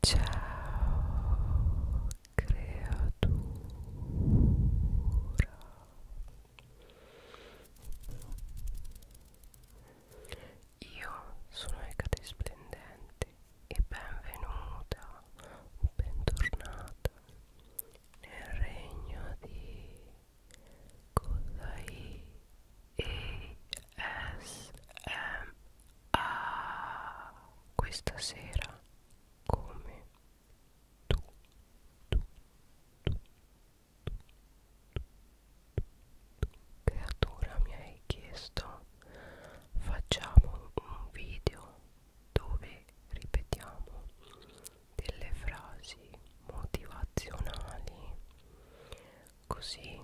Ciao creatura Io sono Ecate Splendente e benvenuta o bentornata nel regno di Kodai ASMR a questa sera come tu, tu, tu, tu, tu, tu creatura mi hai chiesto facciamo un video dove ripetiamo delle frasi motivazionali così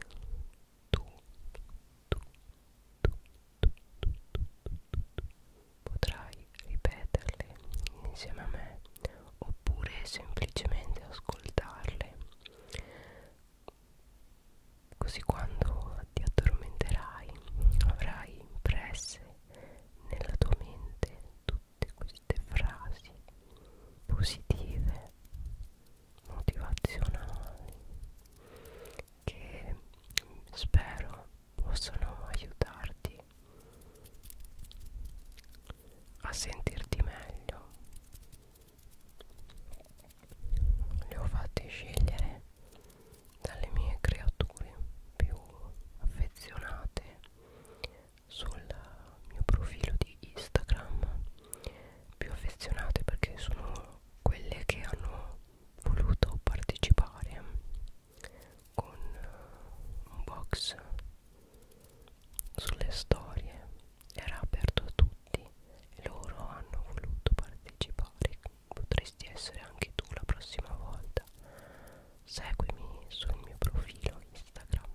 tu, tu, tu, tu, tu, tu, potrai ripeterle insieme a me oppure semplicemente ascoltarle così quando ti addormenterai avrai impresse nella tua mente tutte queste frasi positive motivazionali che spero possano aiutarti a sentirti meglio le ho fatte scegliere dalle mie creature più affezionate sul mio profilo di Instagram più affezionate perché sono quelle che hanno voluto partecipare con eh, un box sulle storie era aperto a tutti e loro hanno voluto partecipare potresti essere anche tu la prossima volta seguimi sul mio profilo Instagram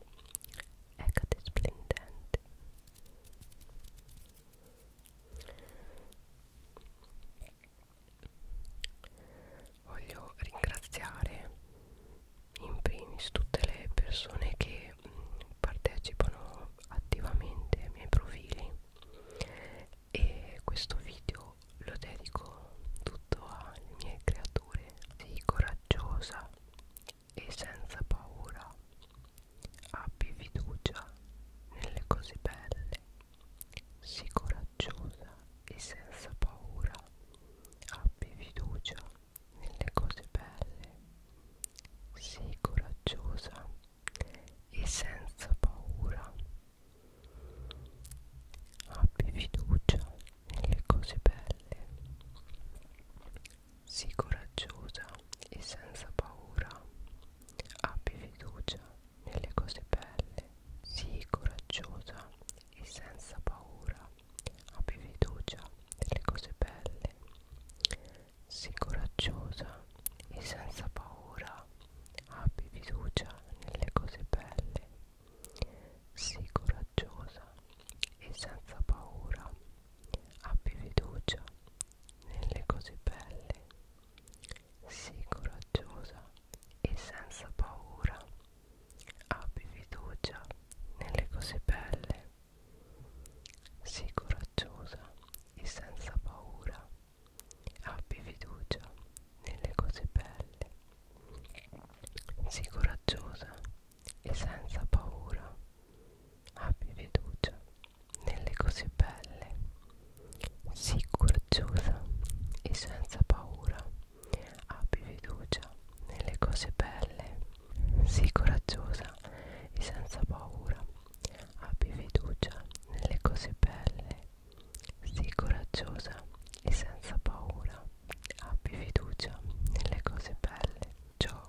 Ecate Splendente Voglio ringraziare in primis tutte le persone che mm, partecipano attivamente ai miei profili e questo video lo dedico tutto alle mie creature, sei coraggiosa e senza paura. Abbi fiducia nelle cose belle. Sii coraggiosa e senza paura. Abbi fiducia nelle cose belle. Sii coraggiosa e senza paura. Abbi fiducia nelle cose belle. Sii coraggiosa e senza paura. Abbi fiducia nelle cose belle. Sii coraggiosa e senza paura. Abbi fiducia nelle cose belle. Sii coraggiosa e senza paura. Abbi fiducia nelle cose belle. Sii coraggiosa e senza paura. Abbi fiducia nelle cose belle sii coraggiosa e senza paura abbi fiducia nelle cose belle sii coraggiosa e senza paura abbi fiducia nelle cose belle sii coraggiosa e senza paura abbi fiducia nelle cose belle, sii coraggiosa e senza paura, abbi fiducia nelle cose belle, sii coraggiosa e senza paura, abbi fiducia nelle cose belle, sii coraggiosa e senza paura, abbi fiducia nelle cose belle, ciò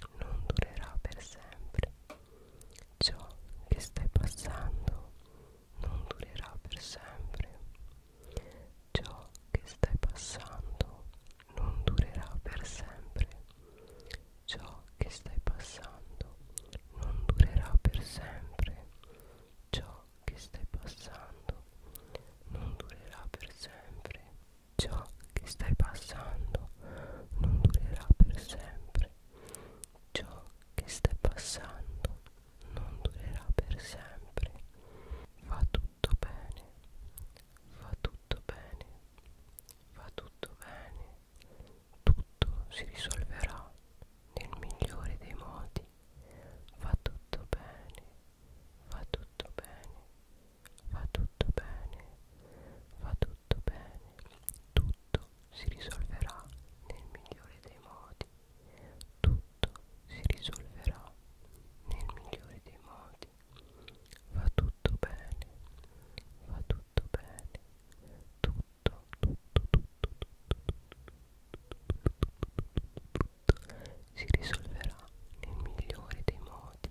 non durerà per sempre. Ciò che stai passando non durerà per sempre. Ciò che stai passando non durerà per sempre. Ciò che stai passando non durerà per sempre. Ciò che stai passando non durerà per sempre. ciò che stai passando non durerà per sempre ciò che stai passando non durerà per sempre va tutto bene va tutto bene va tutto bene tutto si risolverà nel migliore dei modi va tutto bene va tutto bene va tutto bene, va tutto bene, tutto si risolverà nel migliore dei modi, tutto si risolverà nel migliore dei modi, va tutto bene, va tutto bene, tutto, tutto, tutto, tutto, tutto, tutto si risolverà nel migliore dei modi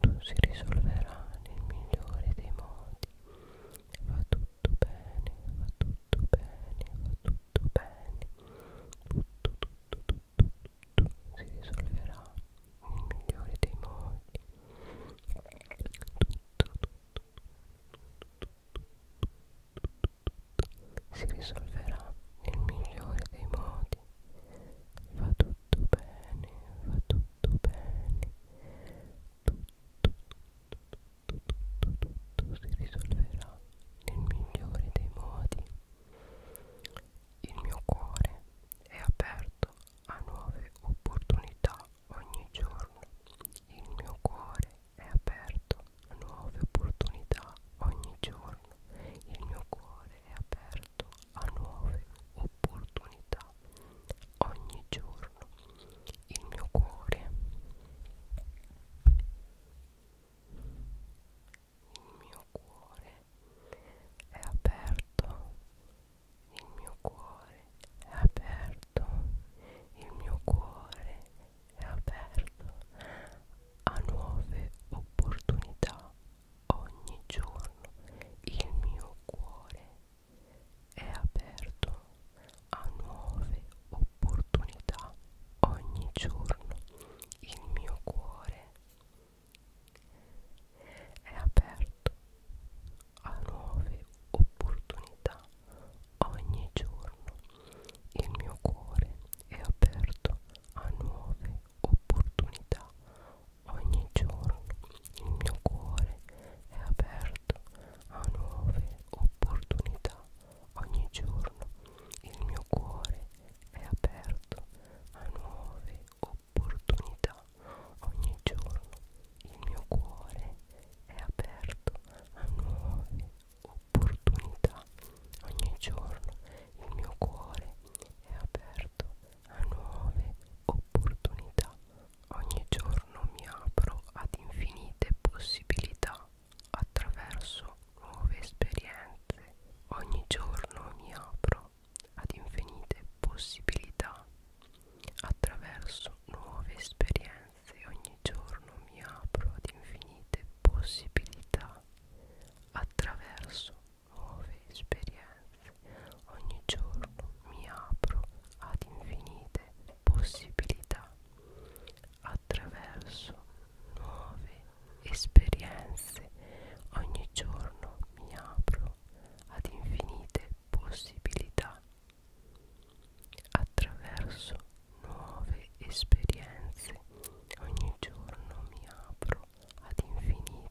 tutto si risolverà nel migliore dei modi va tutto bene va tutto bene va tutto bene tutto tutto tutto tutto si risolverà nel migliore dei modi tutto tutto si risolverà nel migliore dei modi va tutto bene va tutto tutto bene tutto, tutto, tutto, tutto si risolverà nel migliore dei modi il mio cuore è aperto a nuove opportunità ogni giorno il mio cuore è aperto a nuove opportunità ogni giorno il mio cuore è aperto a nuove opportunità dà ogni giorno il mio cuore il mio cuore è aperto il mio cuore è aperto il mio cuore è aperto a nuove opportunità ogni giorno il mio cuore è aperto a nuove opportunità ogni giorno il mio cuore è aperto a nuove opportunità ogni giorno il mio cuore è aperto a nuove opportunità Ogni giorno il mio cuore è aperto a nuove opportunità. Ogni giorno il mio cuore è aperto a nuove opportunità. Ogni giorno il mio cuore è aperto a nuove opportunità. Ogni giorno il mio cuore è aperto a nuove opportunità. Ogni giorno mi apro ad infinite possibilità attraverso nuove esperienze. Ogni giorno mi apro ad infinite possibilità attraverso nuove esperienze. Ogni giorno mi apro ad infinite possibilità attraverso nuove esperienze. Ogni giorno mi apro ad infinite possibilità attraverso nuove esperienze. Ogni giorno mi apro ad infinite possibilità attraverso nuove esperienze. Ogni giorno mi apro ad infinite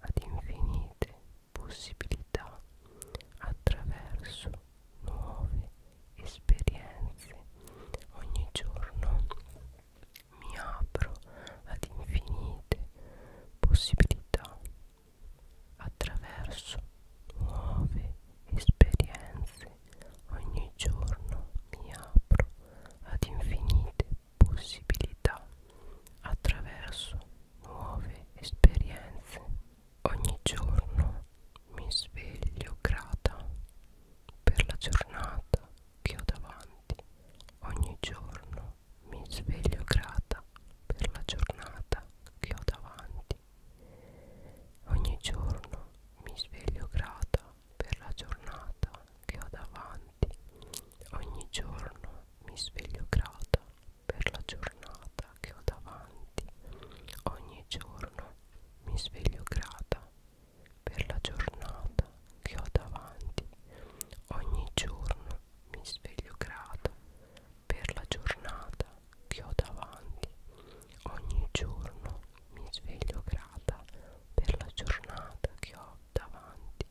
ad infinite possibilità attraverso nuove esperienze ogni giorno mi apro ad infinite possibilità attraverso nuove esperienze ogni giorno mi apro ad infinite possibilità attraverso nuove esperienze. Ogni giorno mi sveglio grata per la giornata che ho davanti. Ogni giorno mi sveglio grata per la giornata che ho davanti. Ogni giorno mi sveglio grata per la giornata che ho davanti. Ogni giorno mi sveglio grata per la giornata che ho davanti. Ogni giorno mi sveglio grata per la giornata che ho davanti. Ogni giorno mi sveglio grata per la giornata che ho davanti. Ogni giorno mi sveglio grata per la giornata che ho davanti.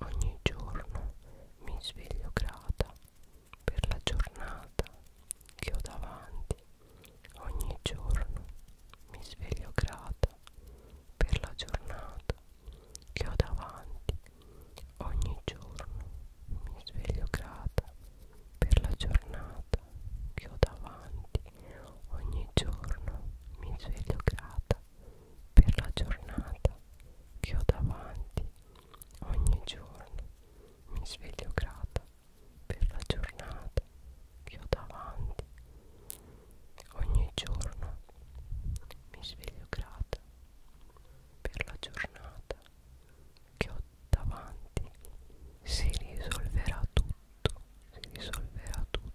Ogni giorno mi sveglio grata per la giornata che ho davanti. Ogni giorno mi sveglio grata per la giornata che ho davanti. Ogni giorno mi sveglio grata per la giornata che ho davanti. Ogni giorno mi sveglio grata per la giornata che ho davanti ogni giorno mi sveglio grata per la giornata che ho davanti ogni giorno mi sveglio grata per la giornata che ho davanti si risolverà tutto si risolverà tutto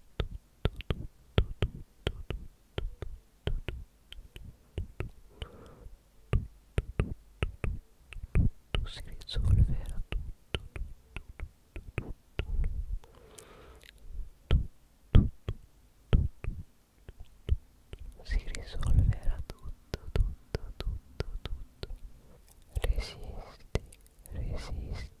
a tutto, tutto, tutto, tutto, tutto, tutto, tutto, tutto si risolverà tutto, tutto, tutto, tutto, si risolverà tutto, tutto, tutto, tutto. Resisti, resisti,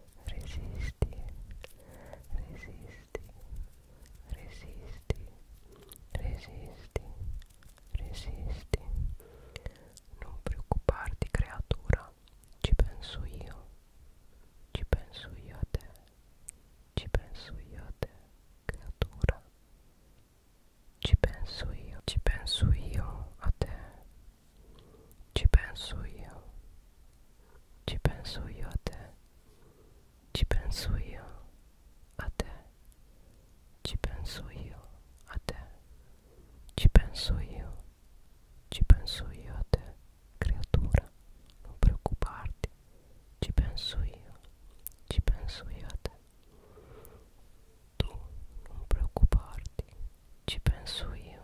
resisti, resisti, resisti, resisti, resisti. Non preoccuparti creatura, ci penso io, ci penso io a te, ci penso io a te, creatura. Ci penso io, ci penso io a te, Ci penso io, ci penso io a te, ci penso io a te, ci penso io a te, ci penso io, ci penso io a te, creatura, non preoccuparti, ci penso io, ci penso io a te. Tu non preoccuparti, ci penso io,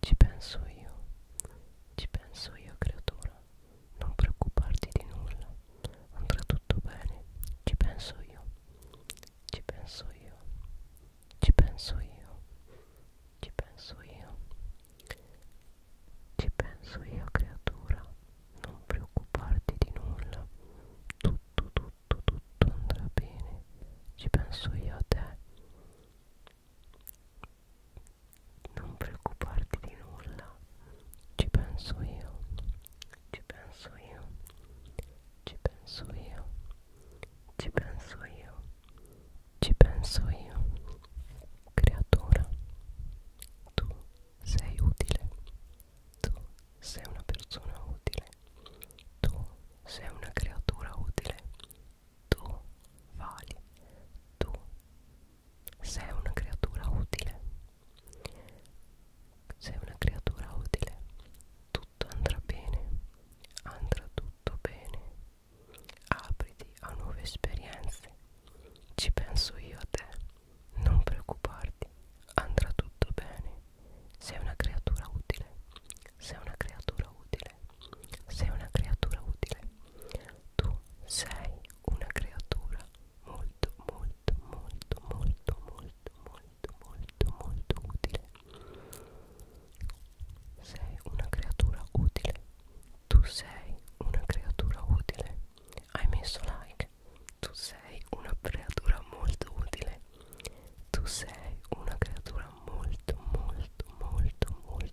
Ci penso io, ci penso io creatura, non preoccuparti di nulla, andrà tutto bene, ci penso io, ci penso io, ci penso io, ci penso io, ci penso io creatura, non preoccuparti di nulla, tutto, tutto, tutto andrà bene, ci penso io a te non preoccuparti di nulla ci penso io ci penso io ci penso io ci penso io ci penso io creatura tu sei utile tu sei una persona utile tu sei una creatura utile tu vali, tu sei una creatura utile, sei una creatura utile, tutto andrà bene, andrà tutto bene, apriti a nuove esperienze, ci penso io a te, non preoccuparti, andrà tutto bene, sei una creatura utile, sei una creatura utile utile. Sei una creatura utile. Tu sei una creatura molto, molto, molto, molto, molto, molto, molto, molto utile. Sei una creatura utile. Tu sei una creatura utile. Hai messo like. Tu sei una creatura molto utile. Tu sei una creatura molto, molto, molto, molto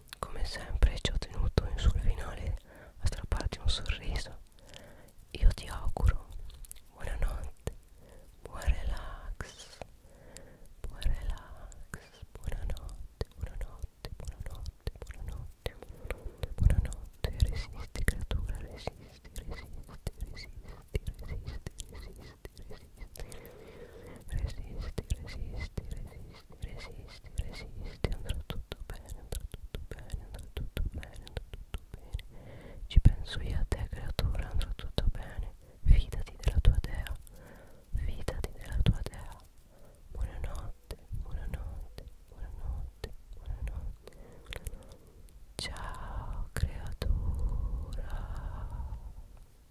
come sempre ci ho tenuto in sul finale a strapparti un sorriso io ti auguro buonanotte buon relax buon relax buonanotte buonanotte buonanotte buonanotte buonanotte buonanotte resisti creatura resisti resisti resisti resisti resisti resisti, resisti, resisti, resisti, resisti, andrà tutto bene, andrà tutto bene, andrà tutto bene, andrà tutto bene. Ci penso io a te creatura, andrà tutto bene. Fidati della tua dea, fidati della tua dea. Buonanotte, buonanotte, buonanotte, buonanotte. buonanotte. Ciao creatura.